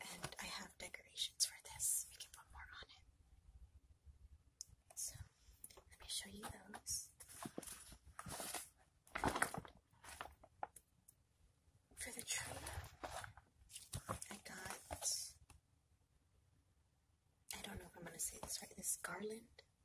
S1: And I have decorations for this. We can put more on it. So, let me show you those. for the tree, I got. I don't know if I'm going to say this right. This garland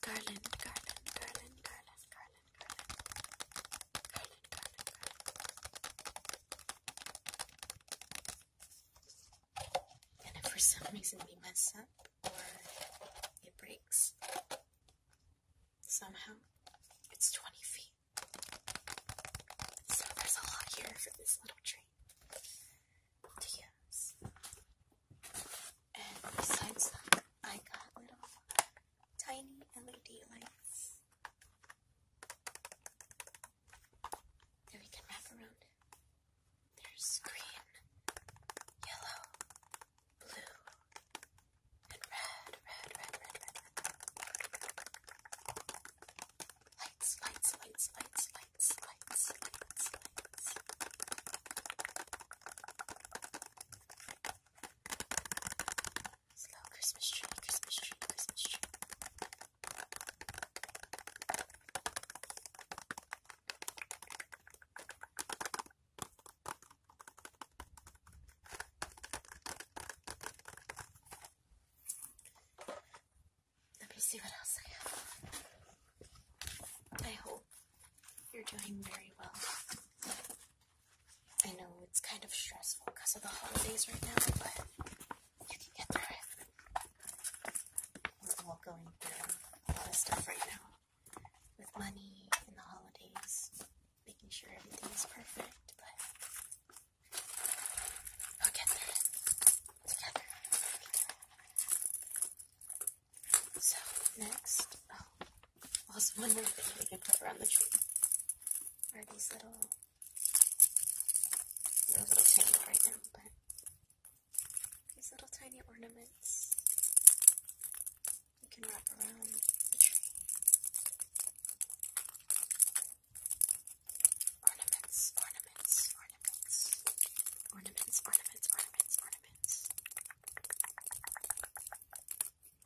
S2: Garland, garland, garland, garland, garland, garland, garland, garland, garland. And if for some reason we mess up or it breaks, somehow it's 20 feet.
S1: So there's a lot here for this little tree And besides that, I got little tiny LED lights that we can wrap around. There's green,
S2: yellow, blue, and red, red, red, red, red. Lights, lights, lights, lights, lights, lights, lights, lights. Christmas tree, Christmas tree, Christmas tree. Let me see what else I have. I hope you're doing very well. I know it's kind of stressful because of the
S1: holidays right now, but you can get through it. We're all going through a lot of stuff right now with money and the holidays, making sure everything is perfect, but we together.
S2: So, next, oh, also one more thing we can put around the tree are these little, they little tiny right now, but these little tiny ornaments you can wrap around the tree. Ornaments, ornaments, ornaments. Ornaments, ornaments, ornaments, ornaments.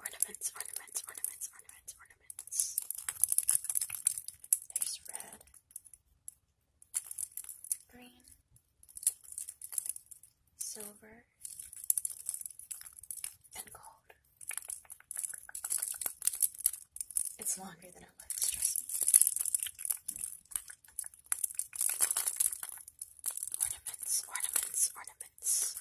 S1: Ornaments, ornaments, ornaments, ornaments, ornaments. There's red, green, silver, and gold. It's longer than it looks, trust me.
S2: Ornaments, ornaments, ornaments.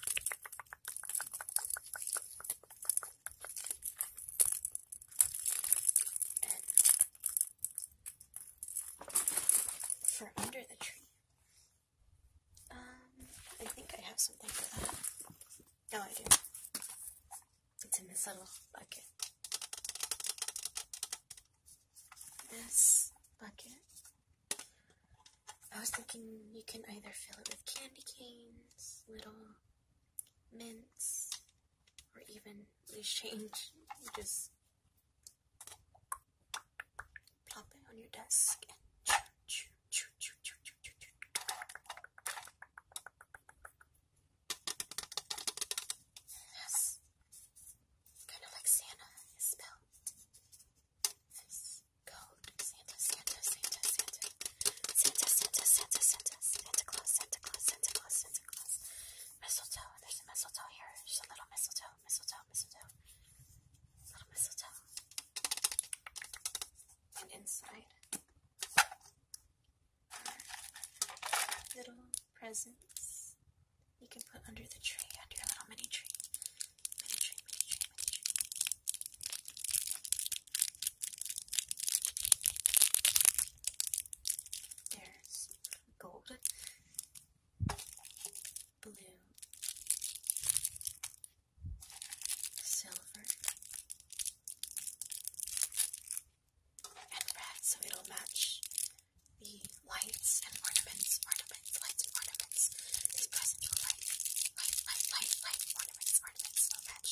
S1: And for under the tree, um, I think I have something for that. No, I do. It's in this little bucket. This bucket. I was thinking you can either fill it with candy canes, little mints, or even loose change. You just pop it on your desk
S2: and choo Yes. Kind of like Santa is spelled. code. Santa, Santa, Santa, Santa. Santa, Santa, Santa, Santa. Santa Santa Santa Mistletoe. There's a mistletoe here. There's little mistletoe. Mistletoe, mistletoe. Little
S1: mistletoe and inside little presents you can put under the tree, under your little mini tree. mini tree. There's gold, blue, silver, and red, so it'll match the lights and ornaments, ornaments, lights and ornaments. This presents will light, light, light, light, light, ornaments, ornaments. they match,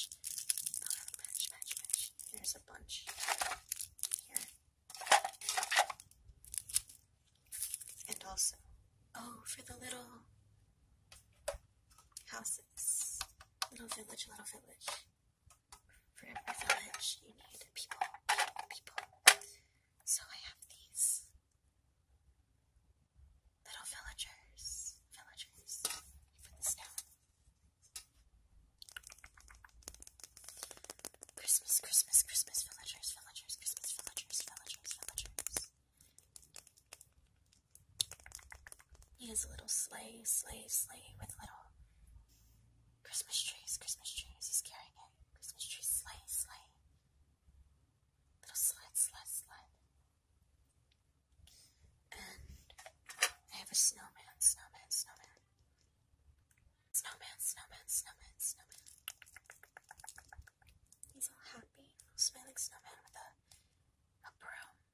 S1: match, match, match. There's a bunch here. And also, oh, for the little houses. Little village, little village. For every village, you need people, people, So I have these little villagers, villagers from this town. Christmas, Christmas, Christmas, villagers, villagers, Christmas, villagers, villagers, villagers. He has a little sleigh, sleigh, sleigh with little
S2: Christmas trees, Christmas trees. He's carrying it. Christmas tree, sleigh, sleigh. Little sled, sled, sled. And I have a snowman, snowman, snowman. Snowman, snowman, snowman, He's all happy,
S1: smiling snowman with a, a broom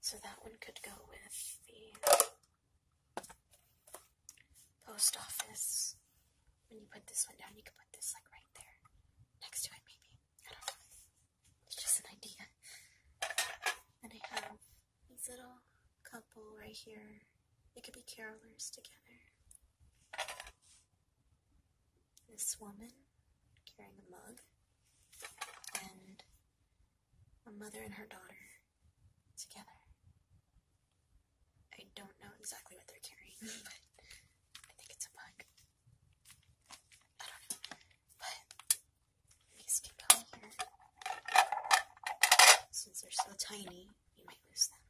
S1: So that one could go with the post office. When you put this one down, you could put this like right there next to it, maybe. I don't know. It's just an idea. And I have these little couple right here. They could be carolers together. This woman carrying a mug, and a mother and her daughter together. I don't know exactly what they're
S2: carrying, *laughs* but I think it's a bug. I don't know. But you skip here. Since they're so tiny, you might lose them.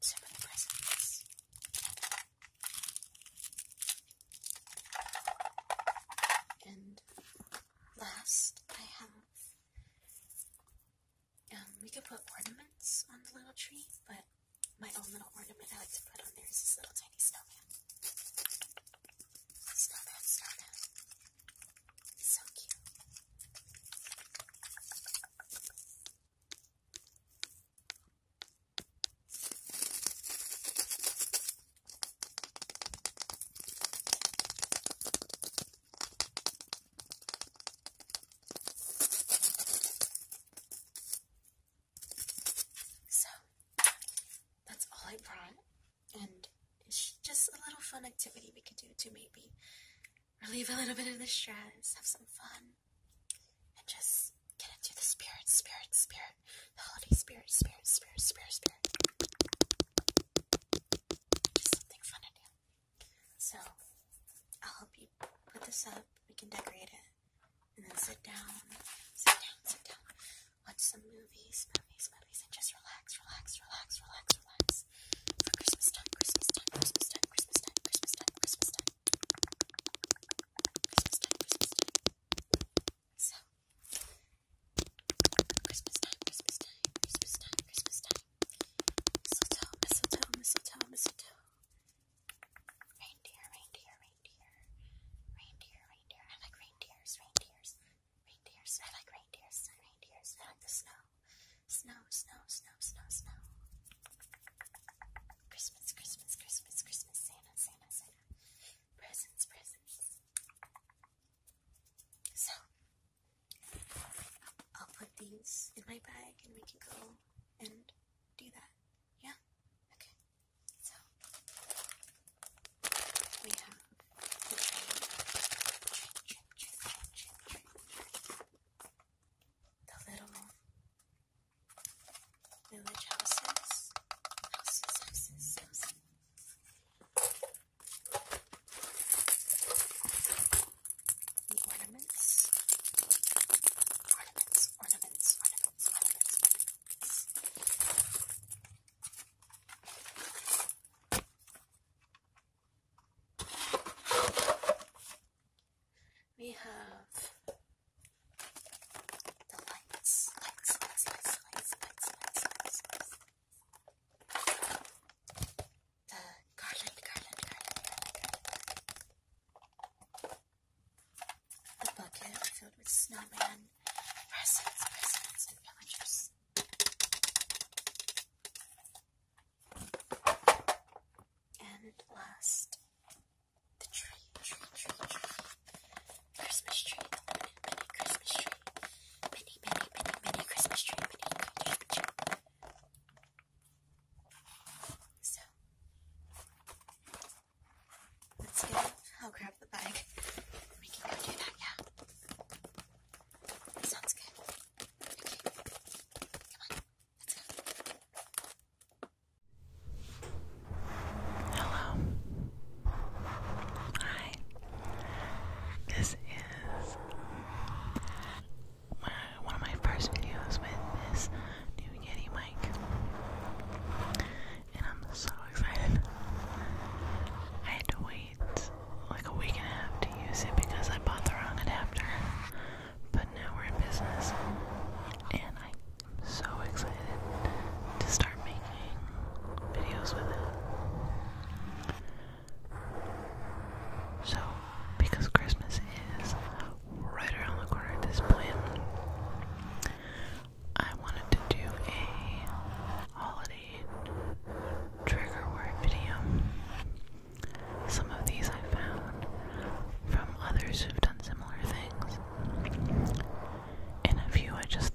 S2: So for presents. And last, I have.
S1: Um, we could put ornaments on the little tree, but my own little ornament I like to
S2: put on there is this little tiny snowman. Snowman, snowman. So cute.
S1: So that's all I brought, and it's just a little fun activity we could do to maybe
S2: relieve a little bit of the
S1: stress, have some fun, and just get into the spirit, spirit, spirit the holiday spirit, spirit, spirit, spirit, spirit.
S2: Just something fun to do. So, I'll help you put this up.
S1: We can decorate it. And then sit down, sit down, sit down. Watch some movies, movies, movies, and just relax, relax, relax, relax, relax. For Christmas time, Christmas time, Christmas time, Christmas time. Christmas time, Christmas
S2: time. So, Christmas time, Christmas time, Christmas time, Christmas time. Mistletoe, mistletoe, mistletoe, mistletoe. Reindeer, reindeer, reindeer. Reindeer, reindeer. I like reindeers, reindeers. Reindeers, I like reindeers, reindeers. I like the snow. Snow, snow, snow, snow, snow. Christmas, Christmas, Christmas, Christmas, Santa, Santa, Santa. Presents, presents. So, I'll put these in my
S1: bag and we can go and do that. Yeah? Okay. So, we have the little village houses.
S2: Ornaments, ornaments, ornaments, ornaments, ornaments. We have the lights, lights, lights, lights, lights, lights, lights, lights, lights. The garland, garland, garland, garland,
S1: The bucket filled with snowmen, presents, presents, and villagers. And last, the tree,
S2: tree, tree, tree. Christmas tree, mini Christmas tree. Mini, mini, mini, mini Christmas tree, mini Christmas tree. So, let's get I'll grab the bag. We can go do that, yeah. sounds good. Okay.
S1: Come on, let's go. Hello. Hi. This is my, one of my first videos with this new Yeti mic. And I'm so excited. I had to wait like a week and a half to use it because I bought the wrong adapter. But now we're in business. And I'm so excited to start making videos with it. So, because Christmas is right around the corner this point, I wanted to do a holiday trigger word video. Some of these I found from others who've done similar things, and a few I just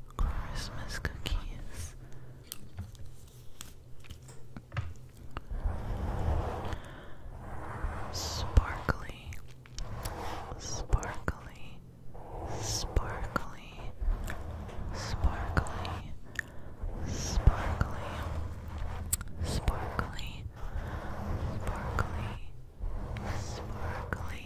S1: Christmas cookies. Sparkly, sparkly, sparkly, sparkly, sparkly, sparkly, sparkly, sparkly,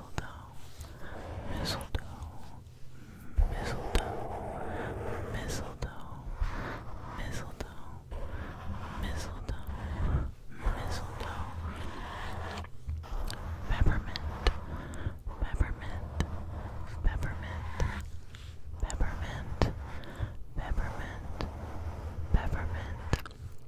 S2: mistletoe, mistletoe, mistletoe, mistletoe, mistletoe, mistletoe, mistletoe, peppermint, peppermint, peppermint, peppermint, peppermint, peppermint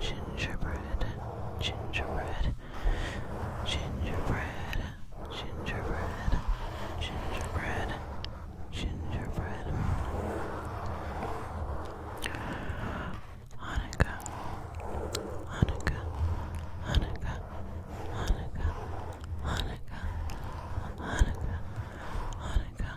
S1: gingerbread, gingerbread, gingerbread, gingerbread, gingerbread, gingerbread. Hanukkah, Hanukkah, Hanukkah, Hanukkah, Hanukkah, Hanukkah, Hanukkah,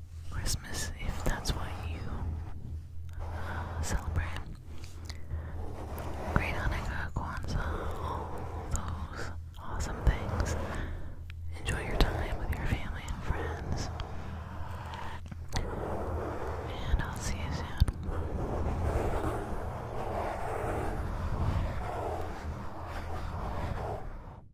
S1: Christmas if that's what you uh, celebrate. Great Hanukkah, Kwanzaa, all those awesome things. Enjoy your time with your family and friends. And I'll see you soon.